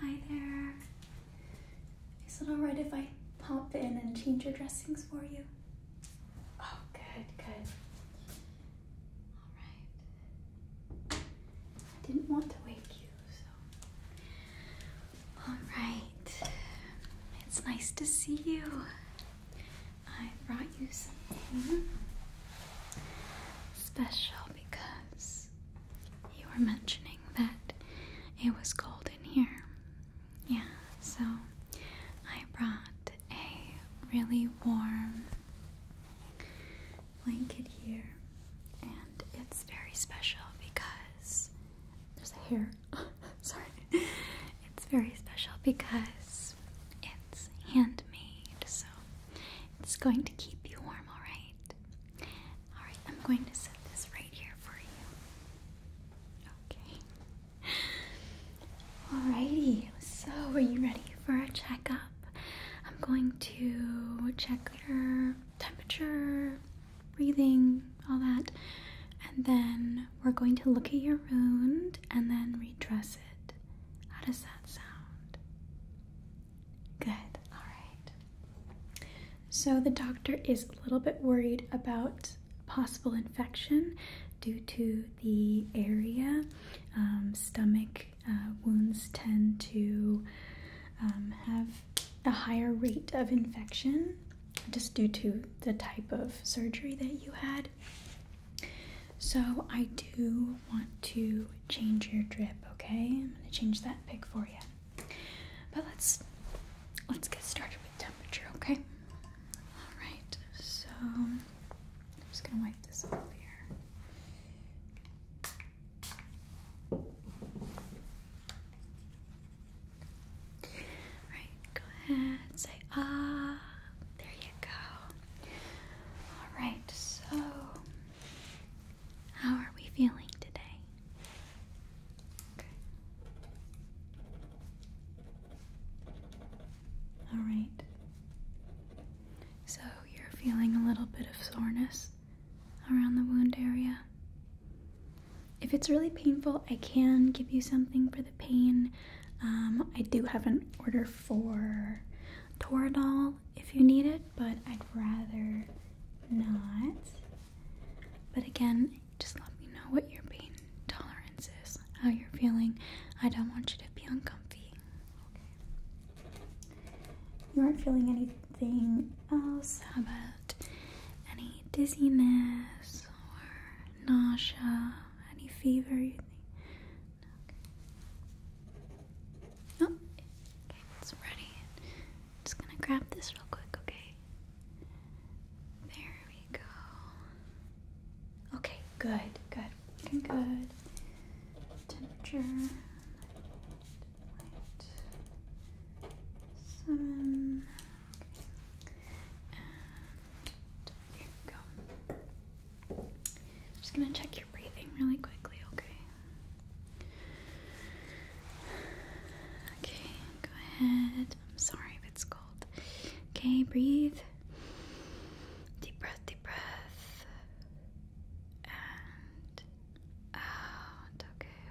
Hi there. Is it alright if I pop in and change your dressings for you? Oh, good, good. Alright. I didn't want to wake you, so. Alright. It's nice to see you. I brought you something special because you were mentioning that it was cold in here. Yeah, so I brought a really warm blanket here, and it's very special because there's a hair. Sorry, it's very special because it's handmade, so it's going to keep you warm, alright? Alright, I'm going to set this right here for you. Okay. Alrighty, so are you ready for a checkup? I'm going to check your temperature, breathing, all that, and then we're going to look at your wound and then redress how does that sound? Good, alright. So the doctor is a little bit worried about possible infection due to the area. Um, stomach uh, wounds tend to um, have a higher rate of infection just due to the type of surgery that you had. So, I do want to change your drip, okay? I'm going to change that pick for you. But let's let's get started with temperature, okay? All right. So, I'm just going to wipe this off here. Alright, go ahead, say ah. There you go. Alright, so how are we feeling today? Alright. So you're feeling a little bit of soreness around the wound area. If it's really painful, I can give you something for the pain. Um, I do have an order for Toradol if you need it, but I'd rather not. But again, just let me know what your pain tolerance is, how you're feeling. I don't want you to be uncomfortable. You aren't feeling anything else? about any dizziness or nausea? Any fever? You think? Okay. Oh, okay, it's ready. I'm just gonna grab this real quick, okay? There we go. Okay, good, good, good. Temperature. Seven. Okay. Here we go. I'm just gonna check your breathing really quickly, okay? Okay, go ahead. I'm sorry if it's cold. Okay, breathe. Deep breath, deep breath. And out, okay.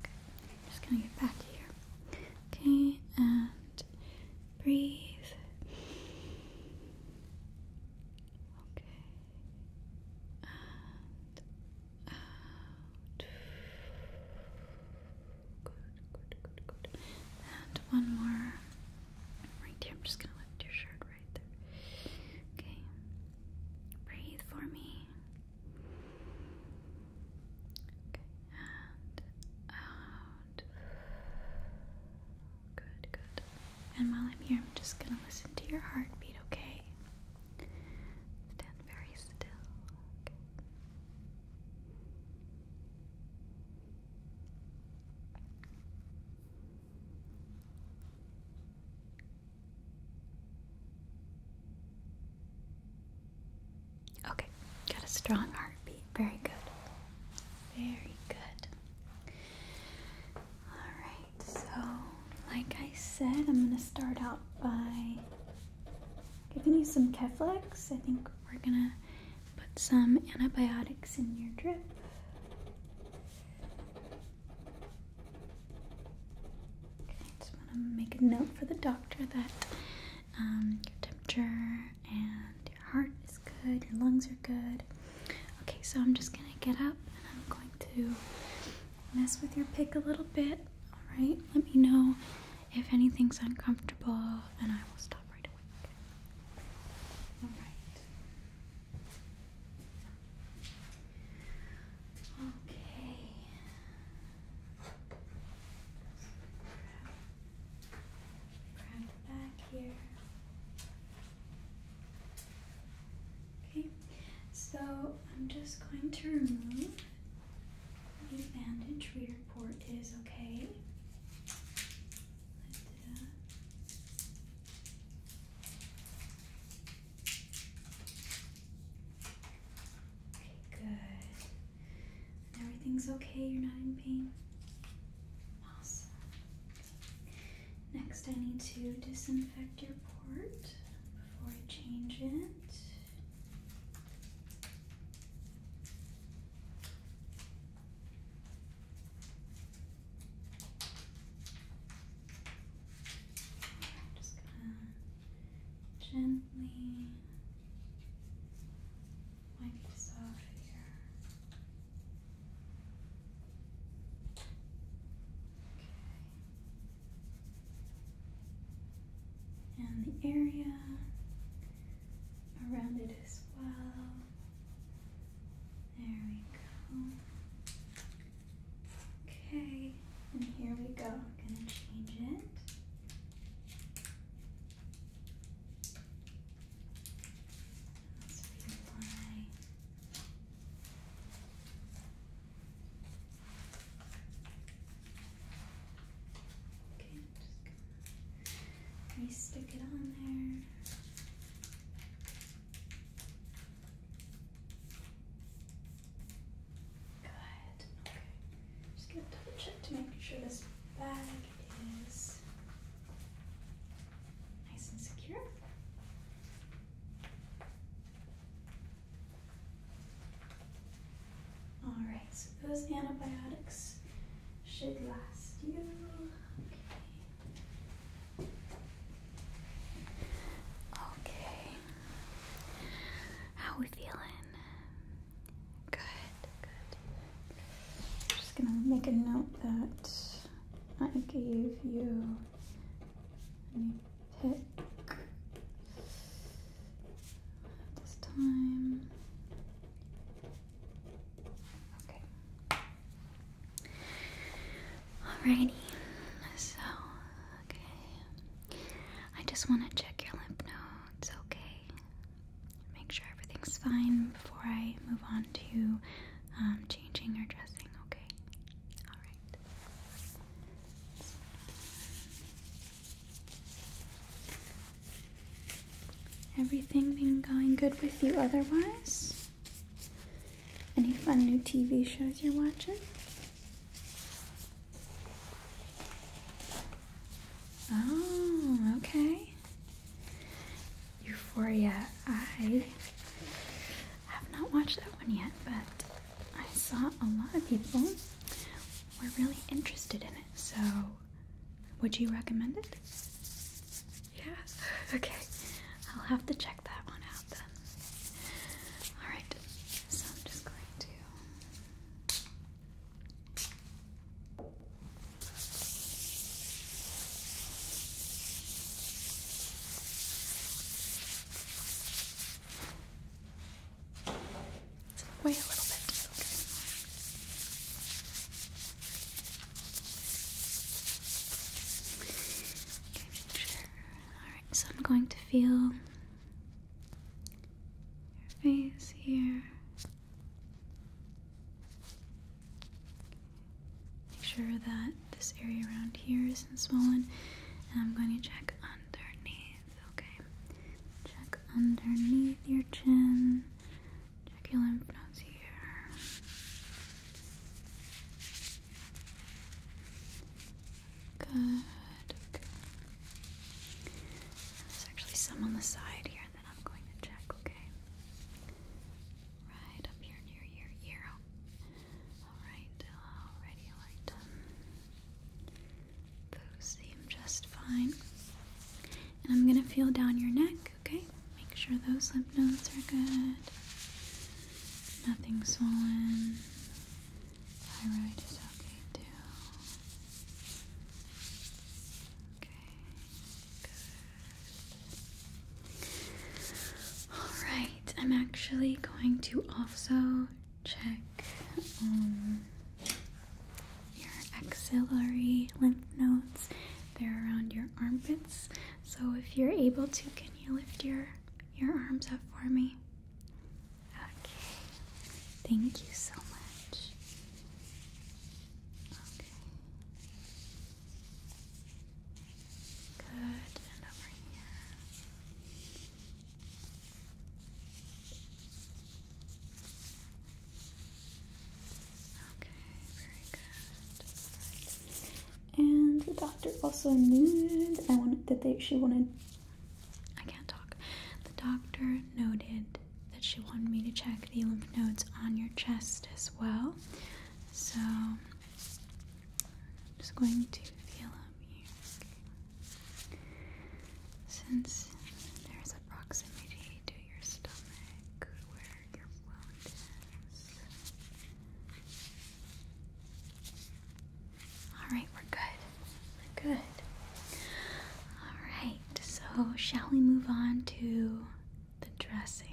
Okay, I'm just gonna get back here. Okay, and Breathe. Okay. Good, good, good, good. And one more. Right here. I'm just gonna lift your shirt right there. Okay. Breathe for me. Okay. And Good, good. And while I'm here, I'm just gonna listen to your heartbeat, okay? Stand very still. Okay. Okay, got a strong heartbeat. Very good. Very good. Alright, so like I said, I'm going to start out by giving you some Keflex. I think we're going to put some antibiotics in your drip. Okay, just want to make a note for the doctor that um, your temperature and your heart is good, your lungs are good. Okay, so I'm just gonna get up and I'm going to mess with your pick a little bit. Alright, let me know if anything's uncomfortable and I will stop right away. Alright. Okay back here. Okay, so I'm just going to remove the bandage reader port is okay. Okay, good. Everything's okay, you're not in pain. Awesome. Next, I need to disinfect your port before I change it. I'm just gonna gently might be just here. Okay. And the area around it as well. There we go. Okay, and here we go. I'm gonna change it. Let's reapply. Okay, just gonna stick it on there. Good. Okay. Just gonna double check to make sure this bag is nice and secure. All right, so those antibiotics should last you. Okay. How are we feeling? Good, I'm just gonna make a note that I gave you a pick this time. Okay. Alrighty. So, okay. I just want to check your lymph nodes, okay? make sure everything's fine before I move on to um, changing or dressing, okay? Alright. Everything been going good with you otherwise? Any fun new TV shows you're watching? Oh, okay. Euphoria. I have not watched that one yet, but I saw a lot of people were really interested in it. So, would you recommend it? Yeah. Okay. I'll have to check that one out then. All right. So I'm just going to Wait a little bit. Okay. sure. Alright, so I'm going to feel your face here. Make sure that this area around here isn't swollen. And I'm going to check underneath, okay? Check underneath your chin. Check your lymph nodes here. Good. Okay. There's actually some on the side here I'm going to check, okay? Right up here near your ear. Alright, already like done. Those seem just fine. And I'm gonna feel down your neck, okay? Make sure those lymph nodes are good. Nothing swollen. Thyroid is okay too. Okay. Alright, I'm actually going to also check um, your axillary lymph nodes. They're around your armpits. So if you're able to, can you lift your your arms up for me? Okay. Thank you so much. Okay. Good, and over here. Okay, very good. And the doctor also noted I wanted that they she wanted I can't talk. The doctor noted that she wanted me to check the lymph nodes on your chest as well. So I'm just going to feel up here. Since there's a proximity to your stomach where your wound Alright, we're good. We're good. Alright so shall we move on to the dressing?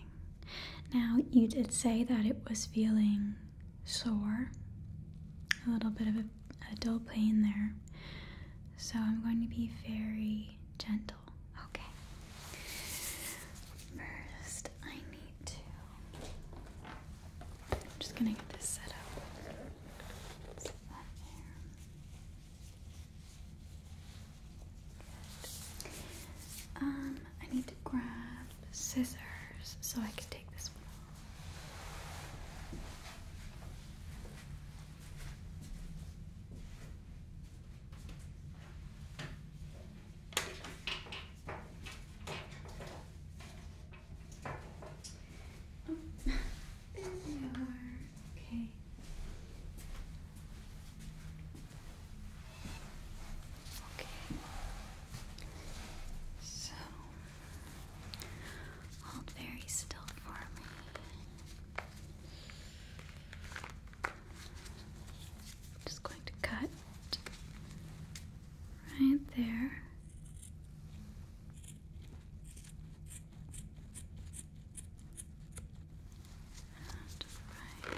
Now, you did say that it was feeling sore, a little bit of a, dull pain there. So, I'm going to be very gentle. Okay. First, I need to. I'm just gonna get this set up. Um, I need to grab scissors so I can take this one off. Oh. Okay. Okay. So hold oh, very still for oh, me. Just going to cut right there right. There.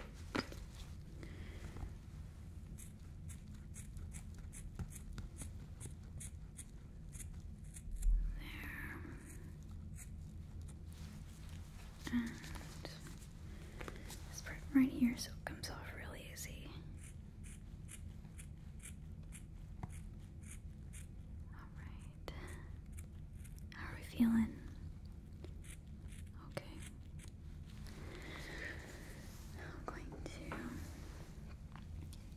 And this part right here so it comes off really easy. Alright. How are we feeling? Okay. going to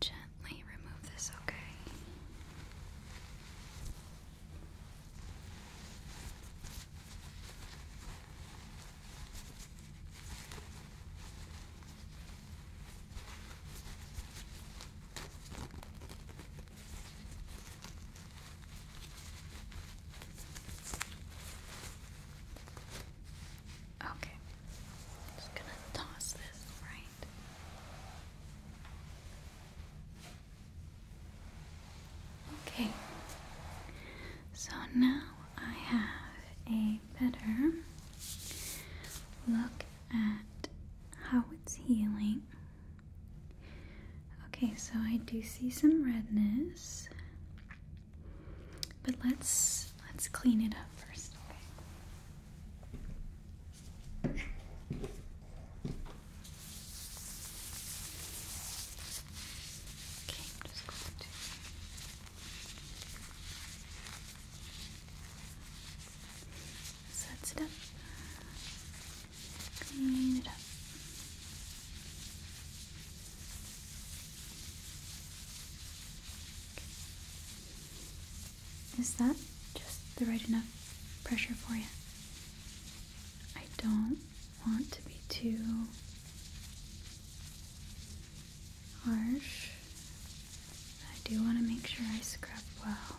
gently remove this, Okay. Okay. just gonna toss this right. Okay. So now I have a better look at how it's healing. Okay, so I do see some redness. But let's let's clean it up first, okay? I'm just going to Set it up. Clean it up. Is that just the right enough pressure for you? I don't want to be too harsh. I do want to make sure I scrub well.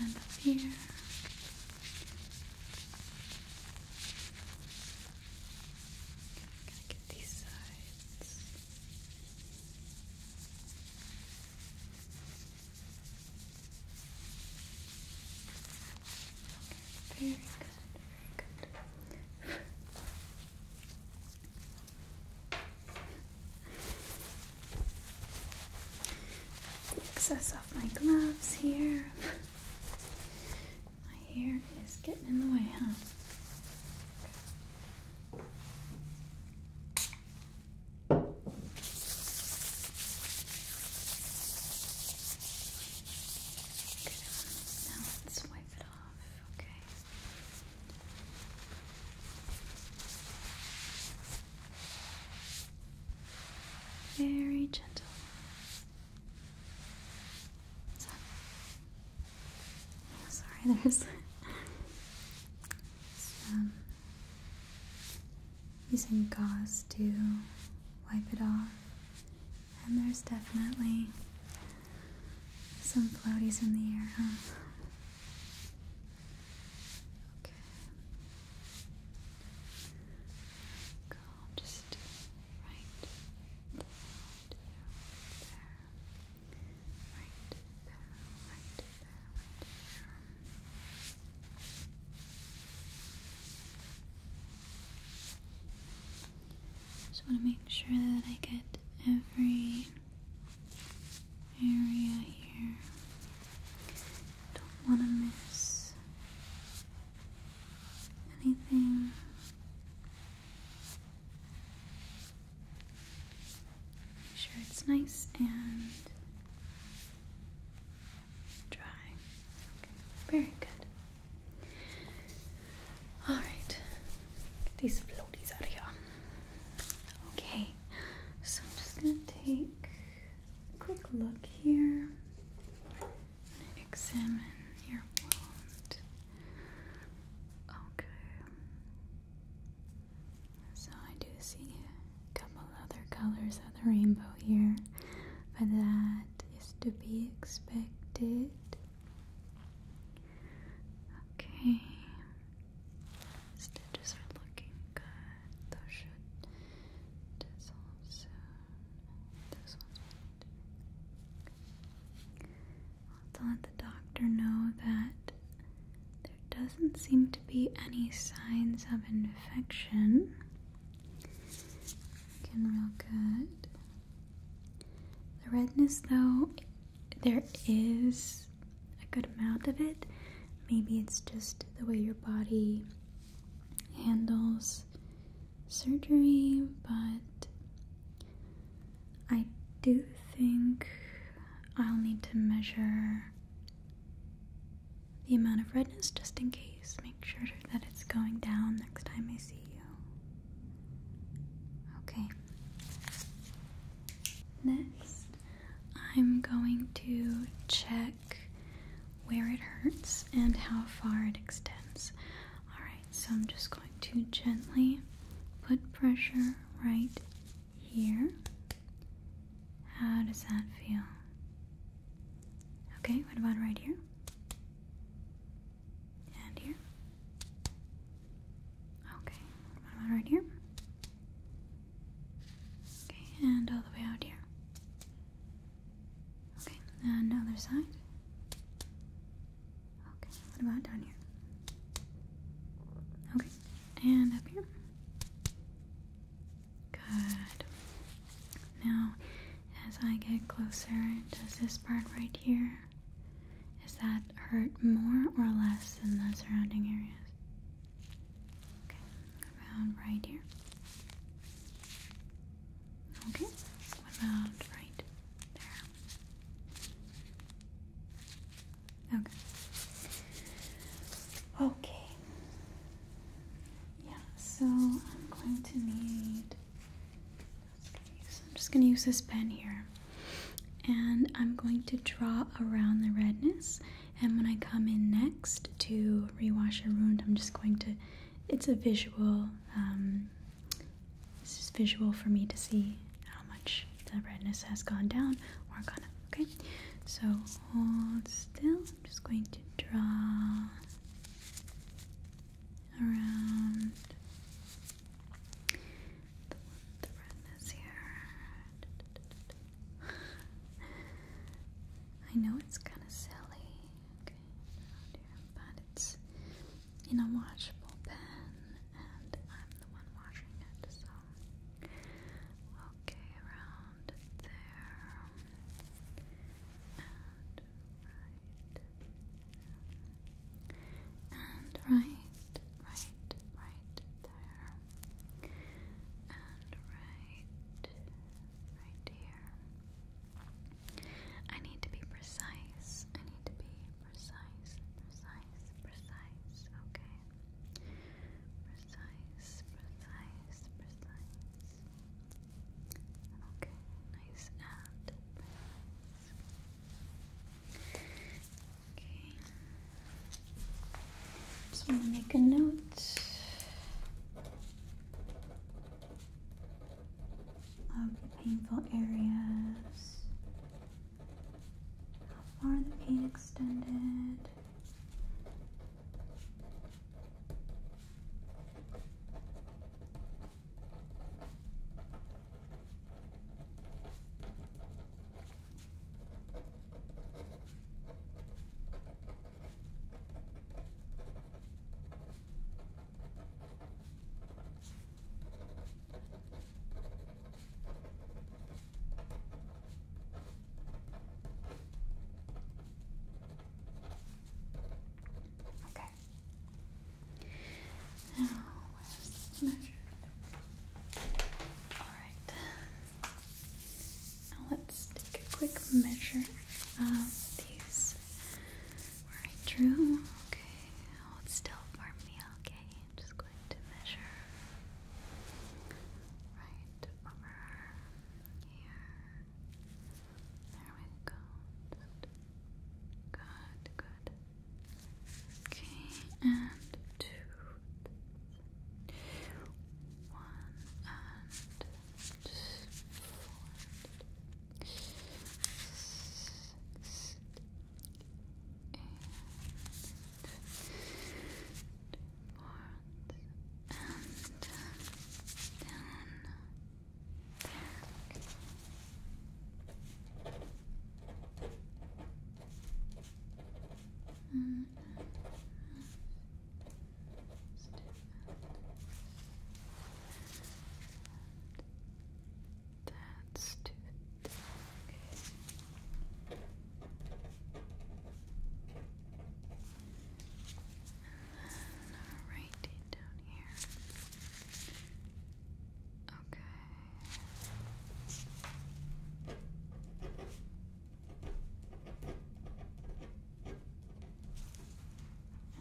And up here. Gonna get these sides. very good, good. the excess off my gloves here. my hair is getting in the way, huh? Now let's wipe it off. Okay. Very gentle. Oh, sorry, there's some using gauze to wipe it off, and there's definitely some floaties in the air, huh? Okay. Go just right there, right there, right there, right there, Just want to make sure that I get every area here. Don't want to miss anything. Make sure it's nice and dry. very good. Alright, get these floaties out of here. Okay, so I'm just gonna take quick look here and examine your wound. Okay. So I do see a couple other colors of the rainbow here, but that is to be expected. Okay stitches looking good. Those should dissolve soon. Those ones will need to let the doctor know that there doesn't seem to be any signs of infection. Looking real good. The redness, though, there is a good amount of it. Maybe it's just the way your body handles surgery, but I do think I'll need to measure the amount of redness just in case. Make sure that it's going down next time I see you. Okay. Next, I'm going to check where it hurts and how far it extends. Alright, so I'm just going to gently put pressure right here. How does that feel? Okay, what about right here? And here? Okay, what about right here? Okay, and all the way out here. Okay, and the other side. Okay, what about down here? Okay, and up here. Good. Now, as I get closer, does this part right here, is that hurt more or less than the surrounding areas? Okay, around right here. Okay, around right there. Okay. Okay. Yeah, so I'm going to need. Okay, So I'm just going to use this pen here. And I'm going to draw around the redness and when I come in next to rewash a wound, I'm just going to, it's a visual, um, this is visual for me to see how much the redness has gone down or gone up, okay? So hold still, I'm just going to draw around the redness here. I know it's kind of silly, but it's in a washable pen, and I'm the one washing it, so. Okay, around there, and right, and right, right, right, there and right right here. I need to be precise. I need to be precise, precise, precise, okay. Precise, precise, precise. Okay, nice and precise. Okay. Just want to make a note of the painful areas, how far the pain extended. Okay. Now let's measure. All right let's take a quick measure of these. Right through. Okay, hold still for me. Okay, I'm just going to measure right over here. There we go. Good, good. Okay, and two, one and four. Six and fourth and down back. And and that's too thick. And then right down here. Okay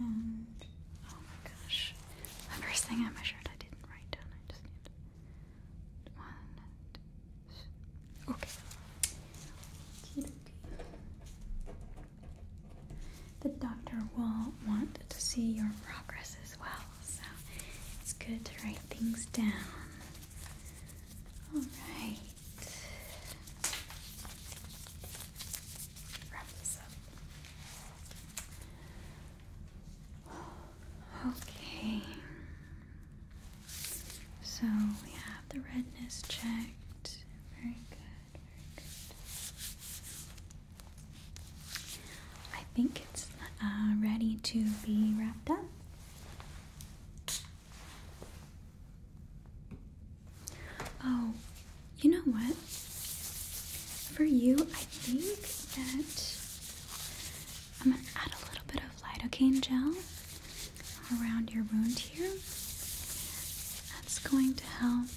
oh my gosh, the first thing I measured I didn't write down. I just need one. Okay. The doctor will want to see your progress as well, so it's good to write things down. All right. Wrap this up. Okay. So we have the redness checked. Very good. Very good. I think it's uh, ready to be wrapped up. Oh, you know what? For you, I think that I'm gonna add a little bit of lidocaine gel around your wound here. That's going to help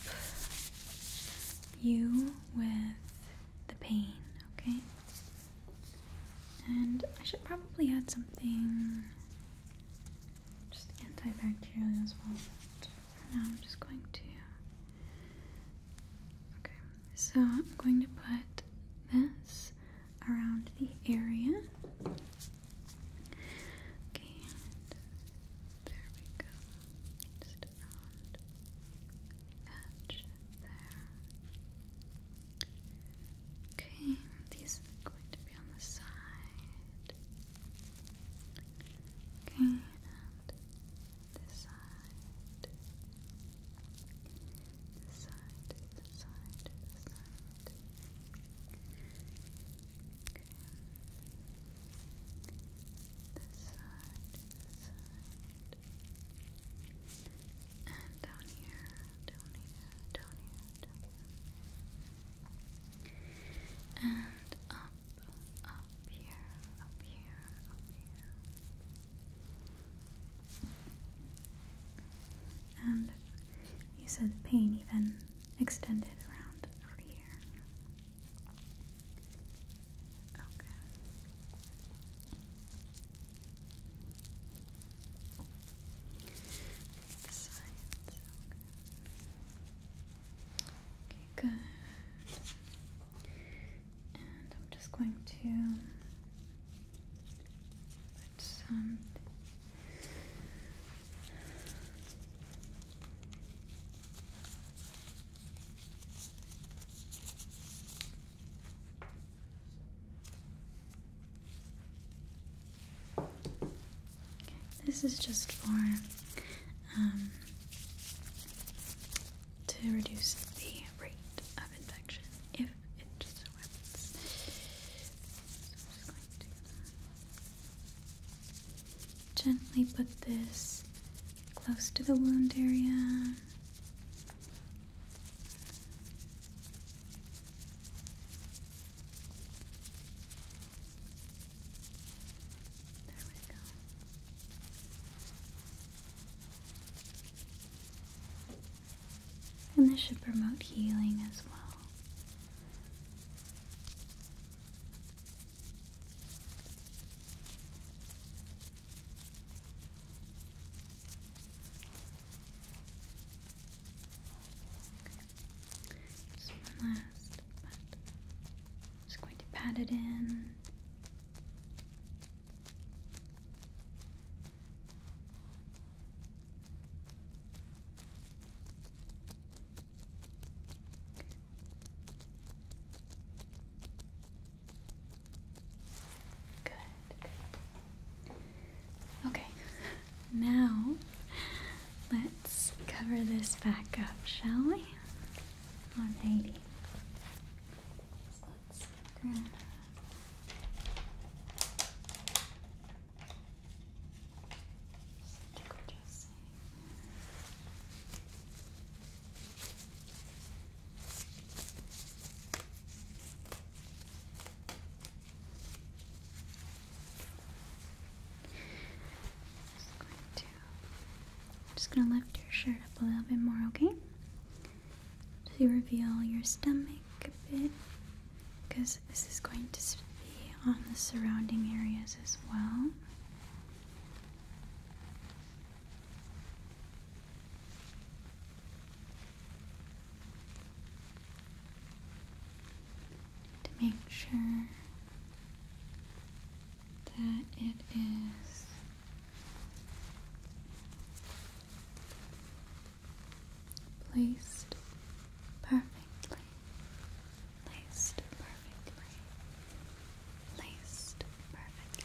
you with the pain, okay? And I should probably add something just antibacterial as well. now, I'm just going to. Okay, so I'm going to put this around the area. Okay, there we go. Just around the edge there. Okay, these are going to be on the side. Okay, this side. This side, this side, this side. Okay. This side, this side. And down here, down here, down here, And up, up here, up here, up here. And you said the pain even extended around here. Okay. Excellent. Okay, And I'm just going to put some. This is just for um, to reduce the rate of infection if it just gently put this close to the wound area. And this should promote healing as well. Just one last, just going to pat it in. Good. Okay, now let's cover this back up, shall we? Alrighty. So let's grab just going to just gonna lift your shirt up a little bit more, okay? To reveal your stomach a bit, because this is going to be on the surrounding areas as well to make sure that it is placed perfectly, placed perfectly, placed perfectly.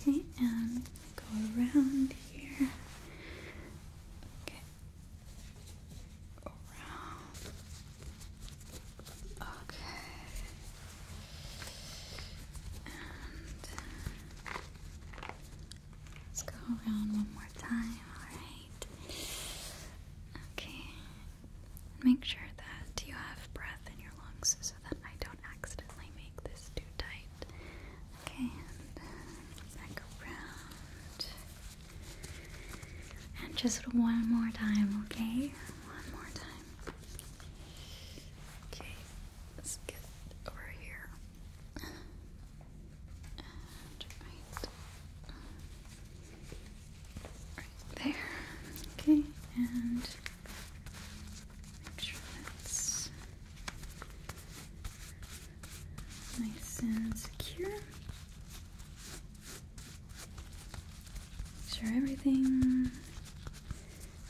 Okay, and go around here. Okay. Around. Okay. And let's go around one more time, alright? Okay, Make sure that you have breath in your lungs so that I don't accidentally make this too tight. Okay, and back around. And just one more time, okay? One more time. Okay, let's get over here there. Okay, and make sure that's nice and secure. Make sure everything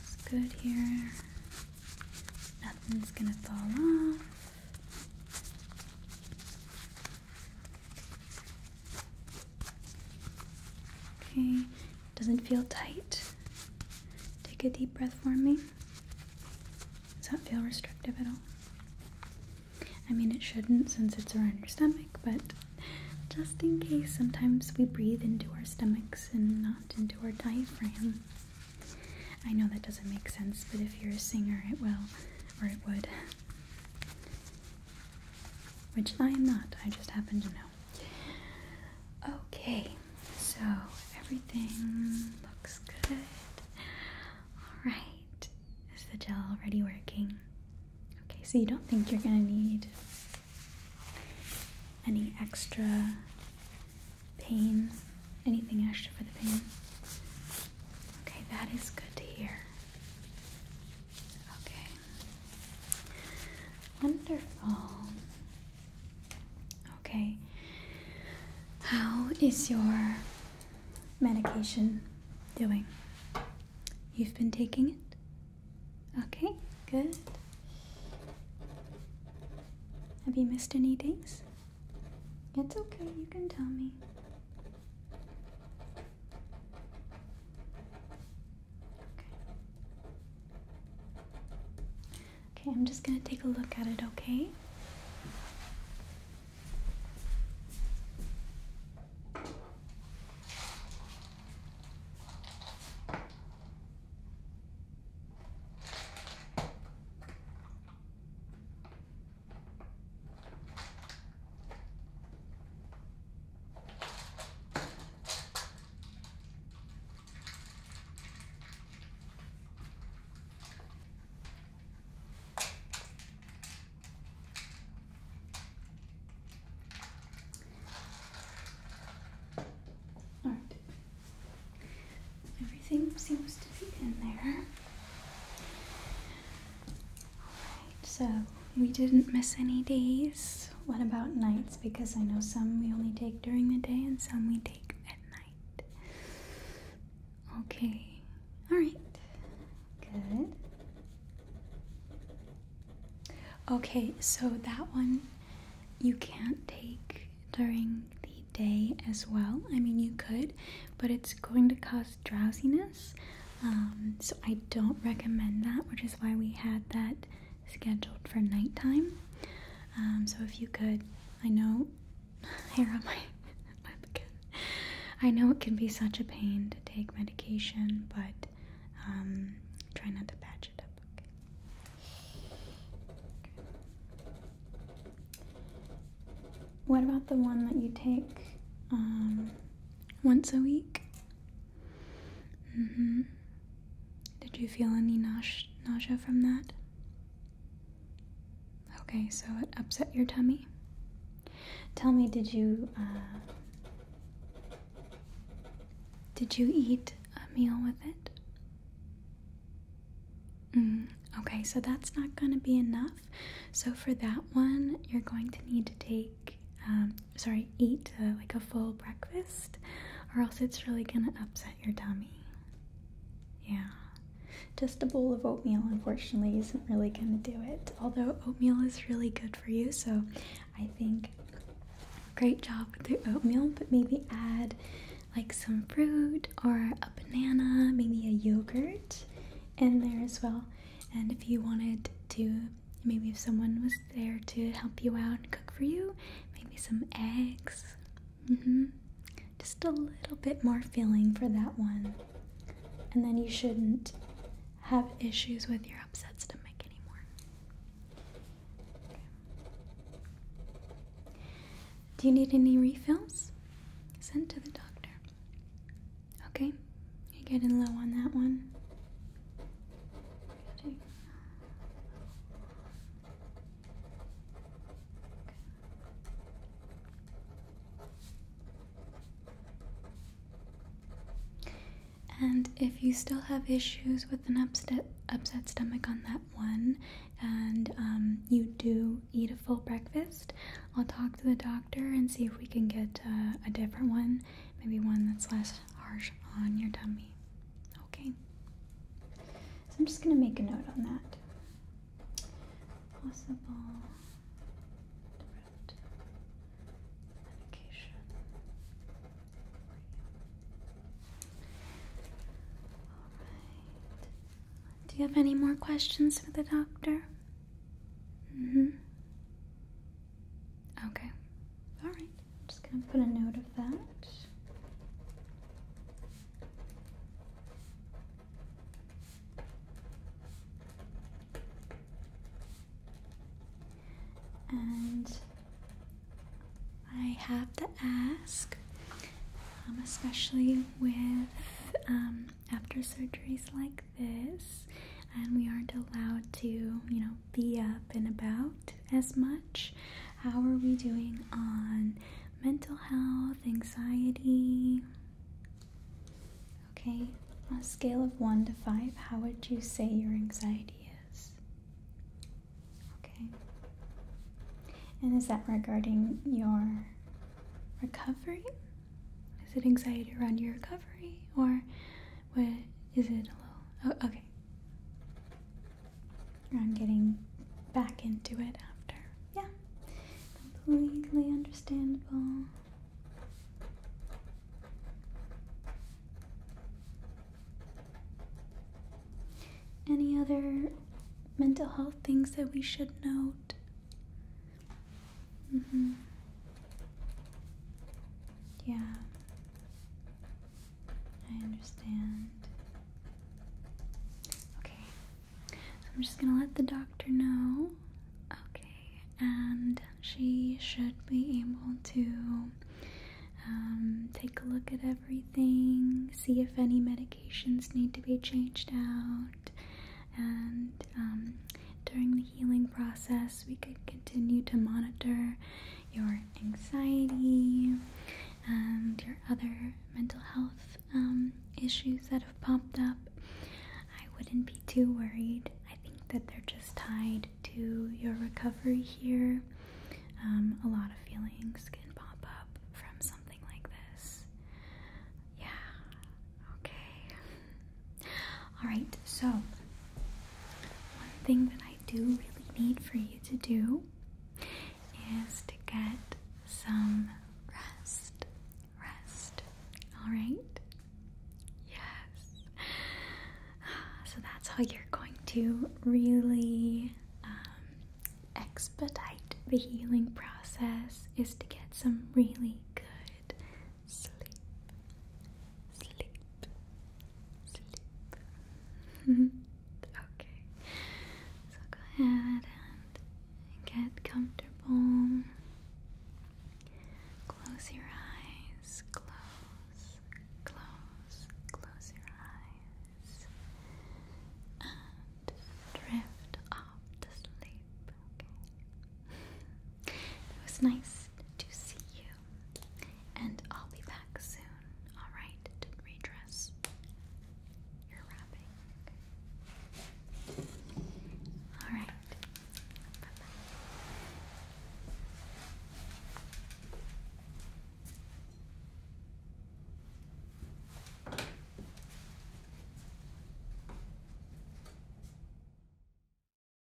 is good here. Nothing's gonna fall off. Okay, doesn't feel tight. Take a deep breath for me. Does that feel restrictive at all? I mean, it shouldn't since it's around your stomach, but just in case, sometimes we breathe into our stomachs and not into our diaphragm. I know that doesn't make sense, but if you're a singer, it will, or it would. Which I am not, I just happen to know. Okay, so everything looks good. Alright, is the gel already working? Okay, so you don't think you're gonna need any extra pain? Anything extra for the pain? Okay, that is good to hear. Okay. Wonderful. Okay. How is your medication doing? You've been taking it? Okay, good. Have you missed any days? It's okay, you can tell me. Okay, I'm just going to take a look at it, okay? All right. Everything seems to be in there so we didn't miss any days. What about nights? Because I know some we only take during the day and some we take at night. Okay, alright, good. Okay, so that one you can't take during the day as well. I mean, you could, but it's going to cause drowsiness. Um, so I don't recommend that, which is why we had that scheduled for nighttime. Um, so if you could, I know hair on my lip again. I know it can be such a pain to take medication, but um, try not to patch it up. What about the one that you take um, once a week? Mm hmm. Did you feel any nausea from that? Okay, so it upset your tummy. Tell me, did you uh, did you eat a meal with it? Mm, okay, so that's not going to be enough. So for that one, you're going to need to take um, sorry, eat uh, like a full breakfast, or else it's really gonna upset your tummy. Yeah, just a bowl of oatmeal, unfortunately, isn't really gonna do it. Although oatmeal is really good for you, so I think great job with the oatmeal, but maybe add like some fruit or a banana, maybe a yogurt in there as well. And if you wanted to Maybe if someone was there to help you out and cook for you, maybe some eggs. Mm-hmm. Just a little bit more feeling for that one. And then you shouldn't have issues with your upset stomach anymore. Do you need any refills? Send to the doctor. Okay. You're getting low on that one. And if you still have issues with an upset, upset stomach on that one, and um, you do eat a full breakfast, I'll talk to the doctor and see if we can get uh, a different one, maybe one that's less harsh on your tummy. Okay. So I'm just going to make a note on that. Possible medication. Do you have any more questions for the doctor? hmm. Okay. All right. I'm just going to put a note of that. And I have to ask, um, especially with um, after surgeries like this, and we aren't allowed to, you know, be up and about as much. How are we doing on mental health, anxiety? Okay, on a scale of 1 to 5, how would you say your anxiety is? Okay. And is that regarding your recovery? Is it anxiety around your recovery? Or what is it a little? Oh, okay. I'm getting back into it after. Yeah. Completely understandable. Any other mental health things that we should note? Mm-hmm. Yeah. I understand. Okay. I'm just gonna let the doctor know. Okay, and she should be able to um, take a look at everything, see if any medications need to be changed out, and um, during the healing process. We could continue to monitor your anxiety and your other mental health um, issues that have popped up. I wouldn't be too worried. I think that they're just tied to your recovery here. Um, a lot of feelings can pop up from something like this. Yeah, okay. All right, so one thing that I do really need for you to do is to get some rest. Rest. All right? Yes. Ah, so that's how you're going to really um, expedite the healing process is to get some really good sleep, sleep, sleep. okay, so go ahead and get comfortable. Close your eyes, close, close, close your eyes, and drift off to sleep, It was nice to see you, and I'll be back soon. All right, to redress your wrapping. All right, bye.